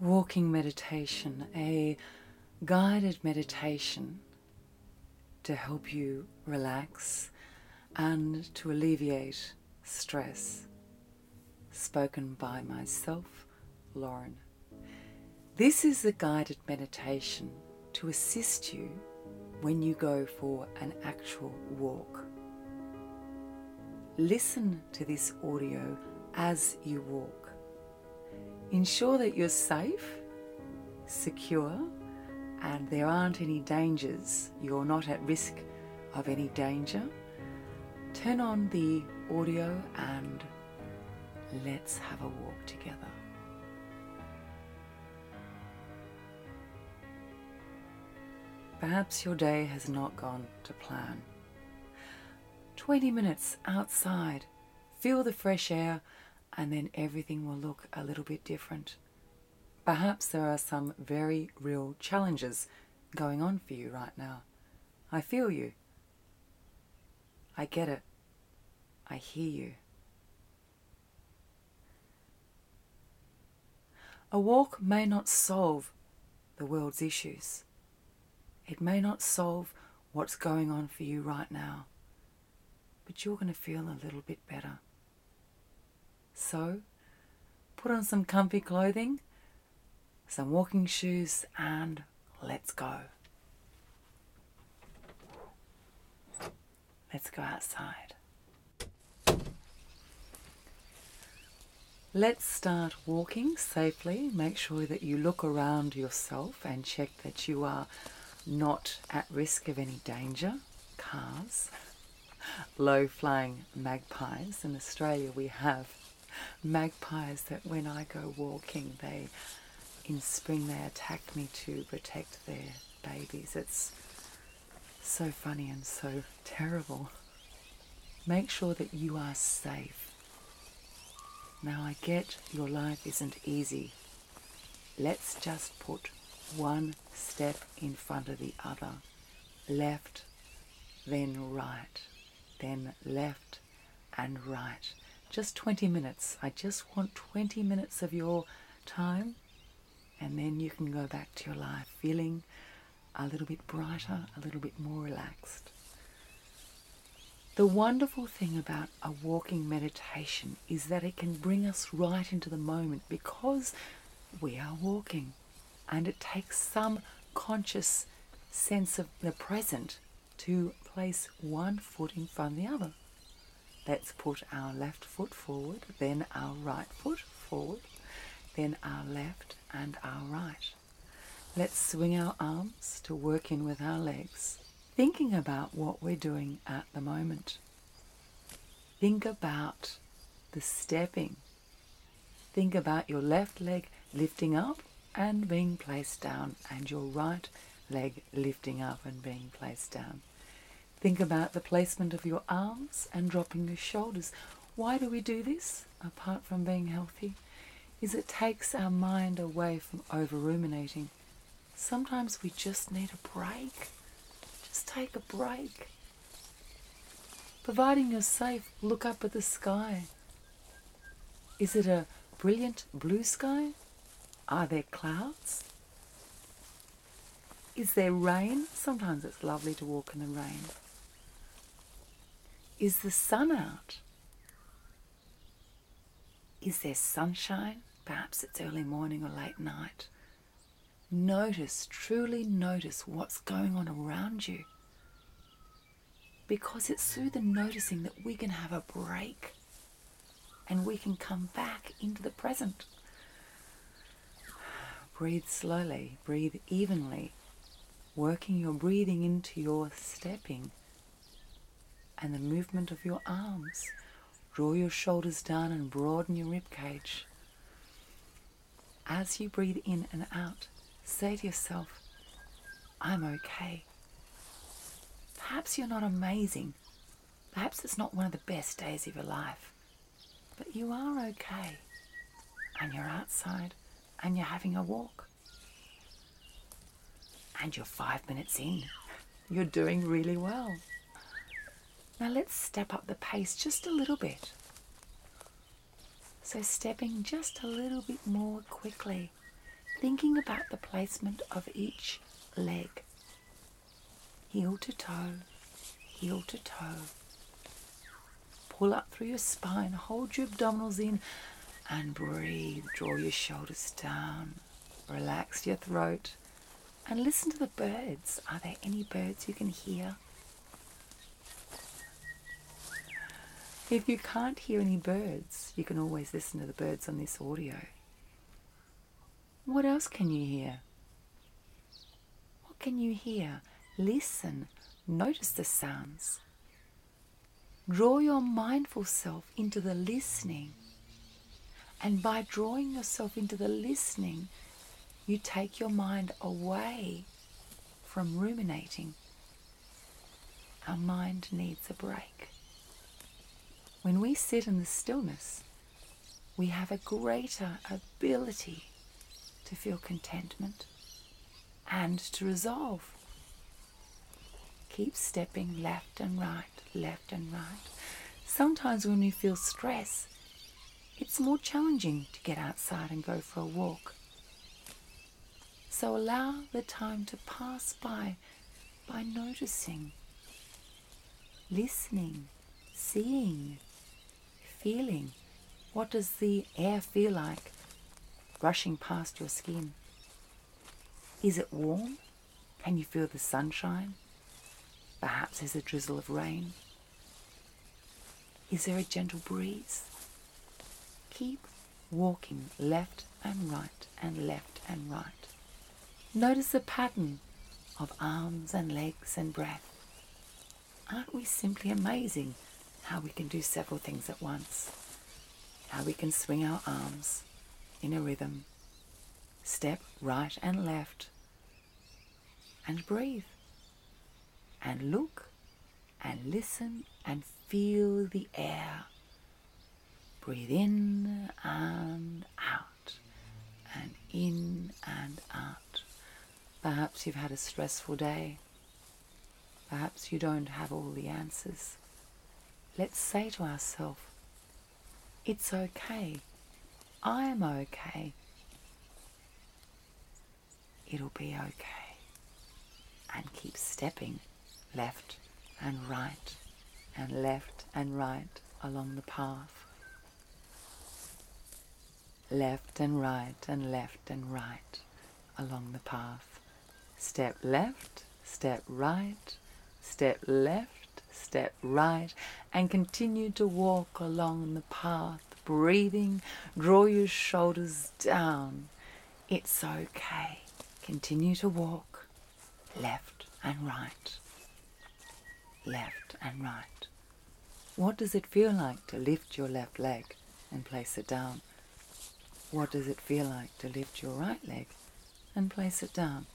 walking meditation, a guided meditation to help you relax and to alleviate stress. Spoken by myself, Lauren. This is the guided meditation to assist you when you go for an actual walk. Listen to this audio as you walk. Ensure that you're safe, secure, and there aren't any dangers. You're not at risk of any danger. Turn on the audio and let's have a walk together. Perhaps your day has not gone to plan. 20 minutes outside, feel the fresh air, and then everything will look a little bit different. Perhaps there are some very real challenges going on for you right now. I feel you. I get it. I hear you. A walk may not solve the world's issues. It may not solve what's going on for you right now, but you're going to feel a little bit better. So, put on some comfy clothing, some walking shoes, and let's go. Let's go outside. Let's start walking safely. Make sure that you look around yourself and check that you are not at risk of any danger. Cars, low flying magpies. In Australia, we have magpies that when I go walking, they in spring they attack me to protect their babies. It's so funny and so terrible. Make sure that you are safe. Now, I get your life isn't easy. Let's just put one step in front of the other left, then right, then left and right. Just 20 minutes. I just want 20 minutes of your time, and then you can go back to your life feeling a little bit brighter, a little bit more relaxed. The wonderful thing about a walking meditation is that it can bring us right into the moment because we are walking and it takes some conscious sense of the present to place one foot in front of the other. Let's put our left foot forward, then our right foot forward, then our left, and our right. Let's swing our arms to work in with our legs, thinking about what we're doing at the moment. Think about the stepping. Think about your left leg lifting up and being placed down, and your right leg lifting up and being placed down. Think about the placement of your arms and dropping your shoulders. Why do we do this? apart from being healthy, is it takes our mind away from over ruminating. Sometimes we just need a break. Just take a break. Providing you're safe, look up at the sky. Is it a brilliant blue sky? Are there clouds? Is there rain? Sometimes it's lovely to walk in the rain. Is the sun out? Is there sunshine? Perhaps it's early morning or late night. Notice, truly notice what's going on around you. Because it's through the noticing that we can have a break and we can come back into the present. Breathe slowly, breathe evenly, working your breathing into your stepping and the movement of your arms. Draw your shoulders down and broaden your rib cage As you breathe in and out, say to yourself, I'm okay. Perhaps you're not amazing. Perhaps it's not one of the best days of your life. But you are okay, and you're outside, and you're having a walk. And you're five minutes in. You're doing really well. Now let's step up the pace just a little bit. So, stepping just a little bit more quickly, thinking about the placement of each leg heel to toe, heel to toe, Pull up through your spine, hold your abdominals in, and breathe. Draw your shoulders down, relax your throat, and listen to the birds. Are there any birds you can hear? If you can't hear any birds, you can always listen to the birds on this audio. What else can you hear? What can you hear? Listen, notice the sounds. Draw your mindful self into the listening. And by drawing yourself into the listening, you take your mind away from ruminating. Our mind needs a break. When we sit in the stillness, we have a greater ability to feel contentment and to resolve. Keep stepping left and right, left and right. Sometimes when we feel stress, it's more challenging to get outside and go for a walk. So allow the time to pass by by noticing, listening, seeing, feeling. What does the air feel like rushing past your skin? Is it warm? Can you feel the sunshine? Perhaps there's a drizzle of rain. Is there a gentle breeze? Keep walking left and right and left and right. Notice the pattern of arms and legs and breath aren't we simply amazing how we can do several things at once? How we can swing our arms in a rhythm, step right and left, and breathe, and look, and listen, and feel the air. Breathe in and out, and in and out. Perhaps you've had a stressful day. Perhaps you don't have all the answers. Let's say to ourselves, it's okay. I'm okay. It'll be okay. And keep stepping left and right and left and right along the path left and right and left and right along the path. Step left, step right, step left, step right, and continue to walk along the path, breathing. Draw your shoulders down. It's okay. Continue to walk left and right, left and right. What does it feel like to lift your left leg and place it down? What does it feel like to lift your right leg and place it down?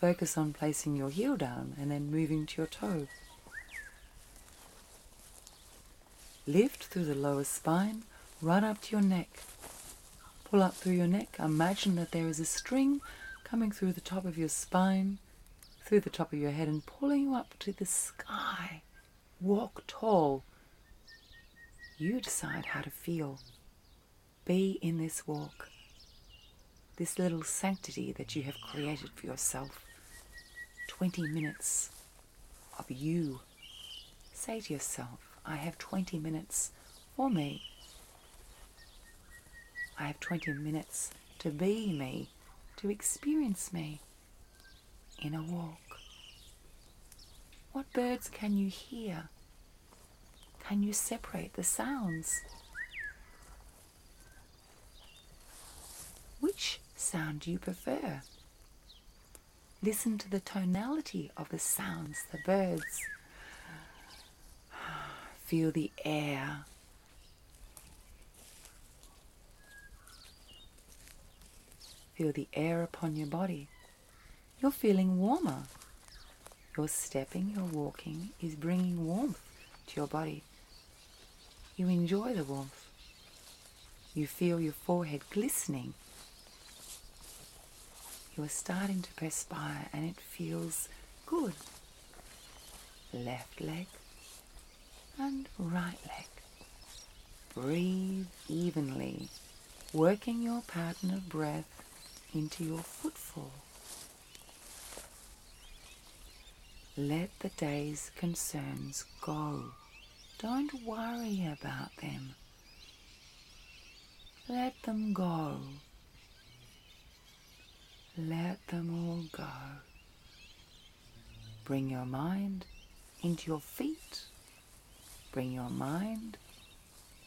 Focus on placing your heel down and then moving to your toe. Lift through the lower spine, run up to your neck. Pull up through your neck. Imagine that there is a string coming through the top of your spine through the top of your head and pulling you up to the sky. Walk tall. You decide how to feel. Be in this walk, this little sanctity that you have created for yourself. 20 minutes of you. Say to yourself, I have 20 minutes for me. I have 20 minutes to be me, to experience me in a walk. What birds can you hear? Can you separate the sounds? Which sound do you prefer? Listen to the tonality of the sounds, the birds. Feel the air Feel the air upon your body. You're feeling warmer. Your stepping, your walking is bringing warmth to your body. You enjoy the warmth. You feel your forehead glistening. You are starting to perspire and it feels good left leg and right leg. Breathe evenly, working your pattern of breath into your footfall. Let the day's concerns go. Don't worry about them. Let them go. Let them all go. Bring your mind into your feet. Bring your mind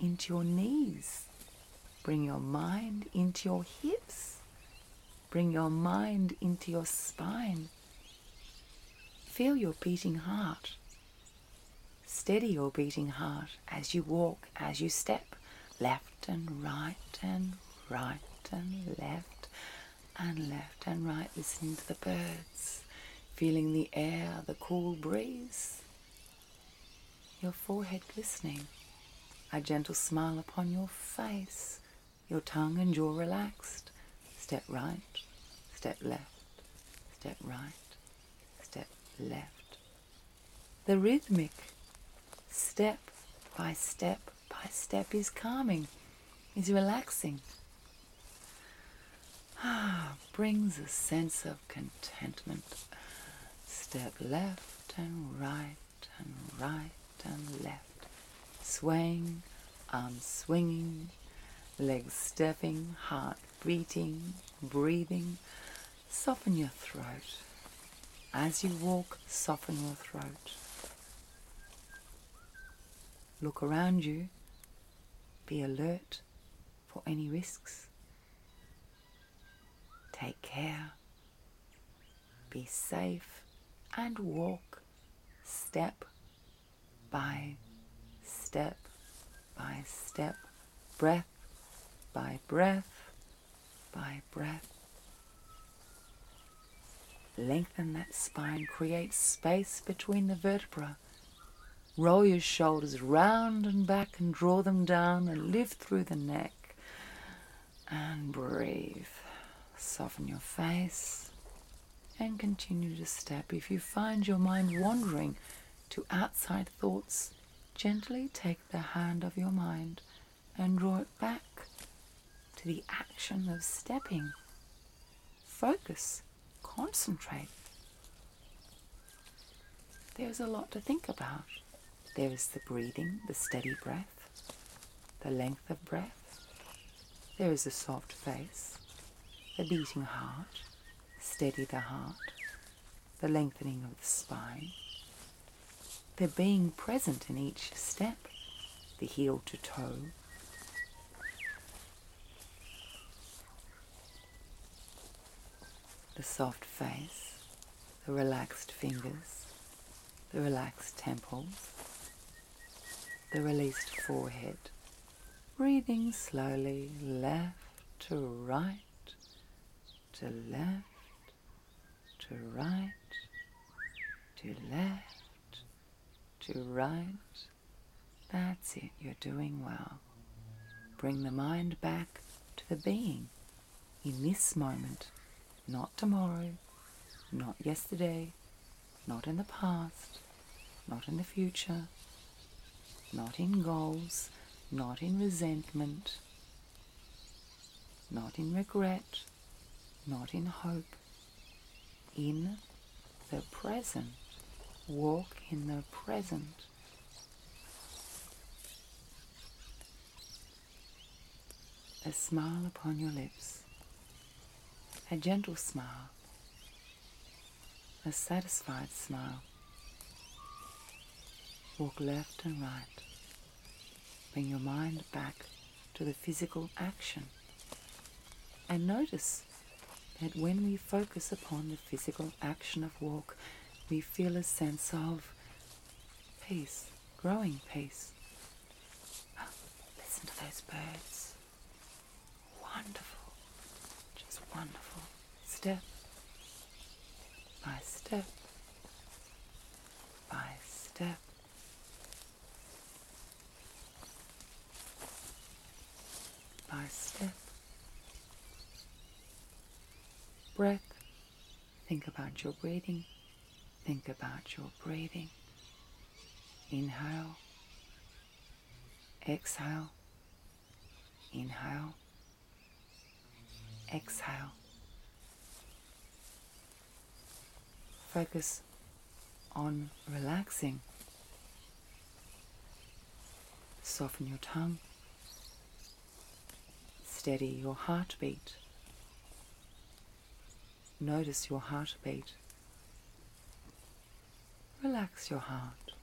into your knees. Bring your mind into your hips. Bring your mind into your spine. Feel your beating heart. Steady your beating heart as you walk, as you step, left and right and right and left and left and right, listening to the birds, feeling the air, the cool breeze, your forehead glistening, a gentle smile upon your face, your tongue and jaw relaxed. Step right, step left, step right, step left, the rhythmic step by step by step is calming, is relaxing. Ah, brings a sense of contentment. Step left and right and right and left. Swaying, arms swinging, legs stepping, heart beating, breathing, Soften your throat. As you walk, soften your throat. Look around you. Be alert for any risks. Take care. Be safe and walk step by step by step, breath by breath, by breath. Lengthen that spine, create space between the vertebrae. Roll your shoulders round and back and draw them down and lift through the neck. And breathe. Soften your face and continue to step. If you find your mind wandering to outside thoughts, Gently take the hand of your mind and draw it back to the action of stepping. Focus, concentrate. There's a lot to think about. There is the breathing, the steady breath, the length of breath. There is the soft face, the beating heart, steady the heart, the lengthening of the spine. they being present in each step, the heel to toe. The soft face, the relaxed fingers, the relaxed temples, the released forehead, breathing slowly left to right to left, to right, to left, to right. That's it, you're doing well. Bring the mind back to the being in this moment, not tomorrow, not yesterday, not in the past, not in the future, not in goals, not in resentment, not in regret, not in hope. In the present. Walk in the present. A smile upon your lips. A gentle smile. A satisfied smile. Walk left and right. Bring your mind back to the physical action. And notice that when we focus upon the physical action of walk, we feel a sense of peace, growing peace. Ah, listen to those birds. Wonderful, just wonderful. Step by step by step. By step. Breath. Think about your breathing. Think about your breathing. Inhale. Exhale. Inhale. Exhale. Focus on relaxing. Soften your tongue. Steady your heartbeat. Notice your heartbeat. Relax your heart.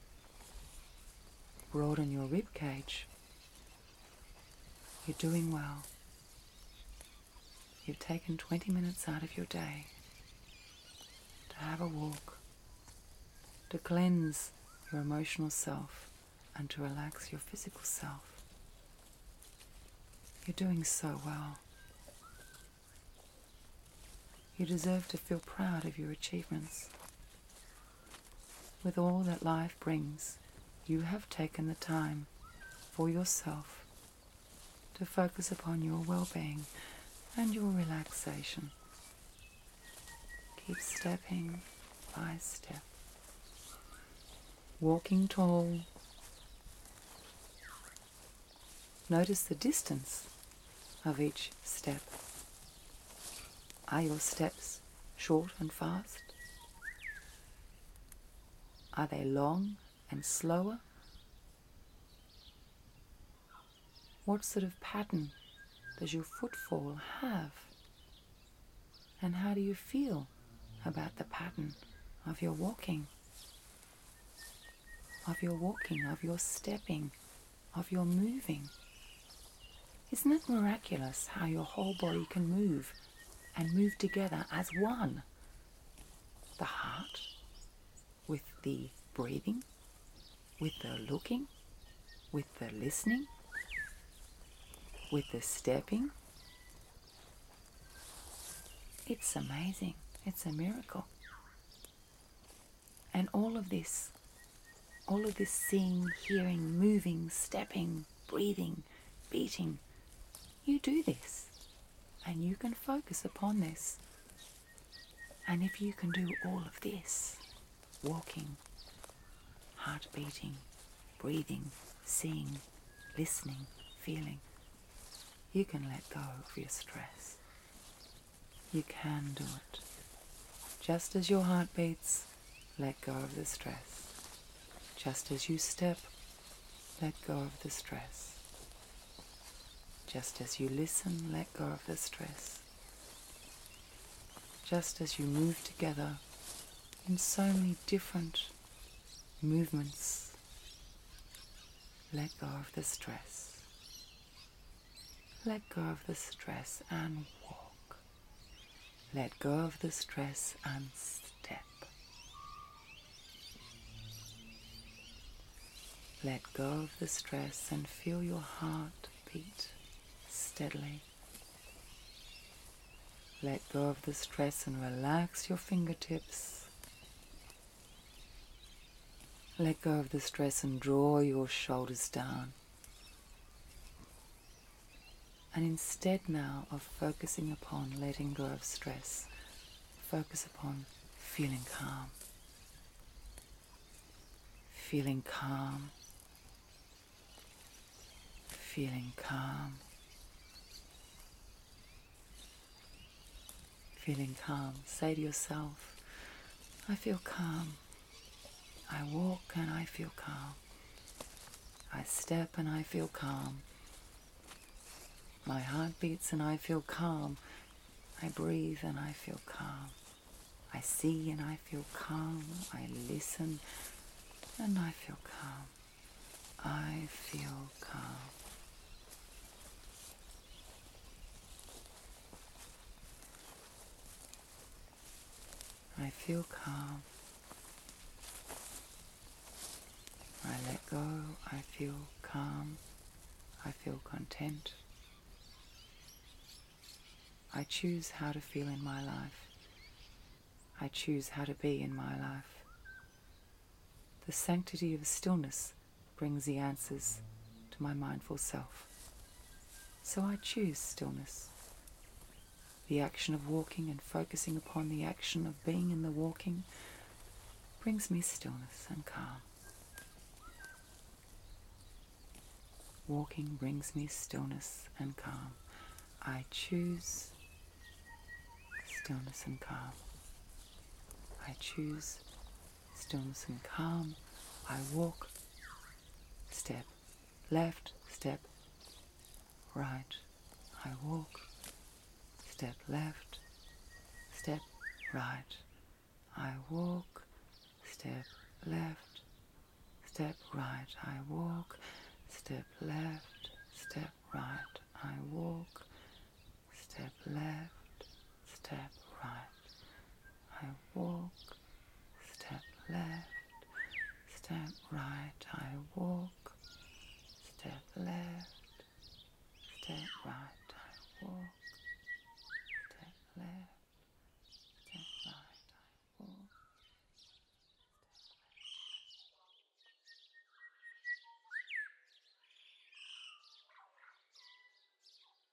Broaden your rib cage. You're doing well. You've taken 20 minutes out of your day to have a walk, to cleanse your emotional self, and to relax your physical self. You're doing so well. You deserve to feel proud of your achievements. With all that life brings, you have taken the time for yourself to focus upon your well being and your relaxation. Keep stepping by step, walking tall. Notice the distance of each step. Are your steps short and fast? Are they long and slower? What sort of pattern does your footfall have? And how do you feel about the pattern of your walking? Of your walking, of your stepping, of your moving. Isn't it miraculous how your whole body can move and move together as one? The heart with the breathing, with the looking, with the listening, with the stepping. It's amazing. It's a miracle. And all of this, all of this seeing, hearing, moving, stepping, breathing, beating, you do this and you can focus upon this. And if you can do all of this, walking, heart beating, breathing, seeing, listening, feeling, you can let go of your stress. You can do it. Just as your heart beats, let go of the stress. Just as you step, let go of the stress. Just as you listen, let go of the stress. Just as you move together in so many different movements, let go of the stress. Let go of the stress and walk. Let go of the stress and step. Let go of the stress and feel your heart beat steadily. Let go of the stress and relax your fingertips. Let go of the stress and draw your shoulders down. And instead now of focusing upon letting go of stress, focus upon feeling calm. Feeling calm. Feeling calm. Feeling calm. Say to yourself, I feel calm. I walk and I feel calm. I step and I feel calm. My heart beats and I feel calm. I breathe and I feel calm. I see and I feel calm. I listen and I feel calm. I feel calm. I feel calm. I let go, I feel calm, I feel content. I choose how to feel in my life. I choose how to be in my life. The sanctity of stillness brings the answers to my mindful self. So I choose stillness. The action of walking and focusing upon the action of being in the walking brings me stillness and calm. Walking brings me stillness and calm. I choose stillness and calm. I choose stillness and calm, I walk, step left, step right, I walk, step left, step right, I walk, step left, step right, I walk, step left, step right, I walk, step left, step right. I walk, step left, step right. I walk, step left, step right. I walk, step left. step right, I walk.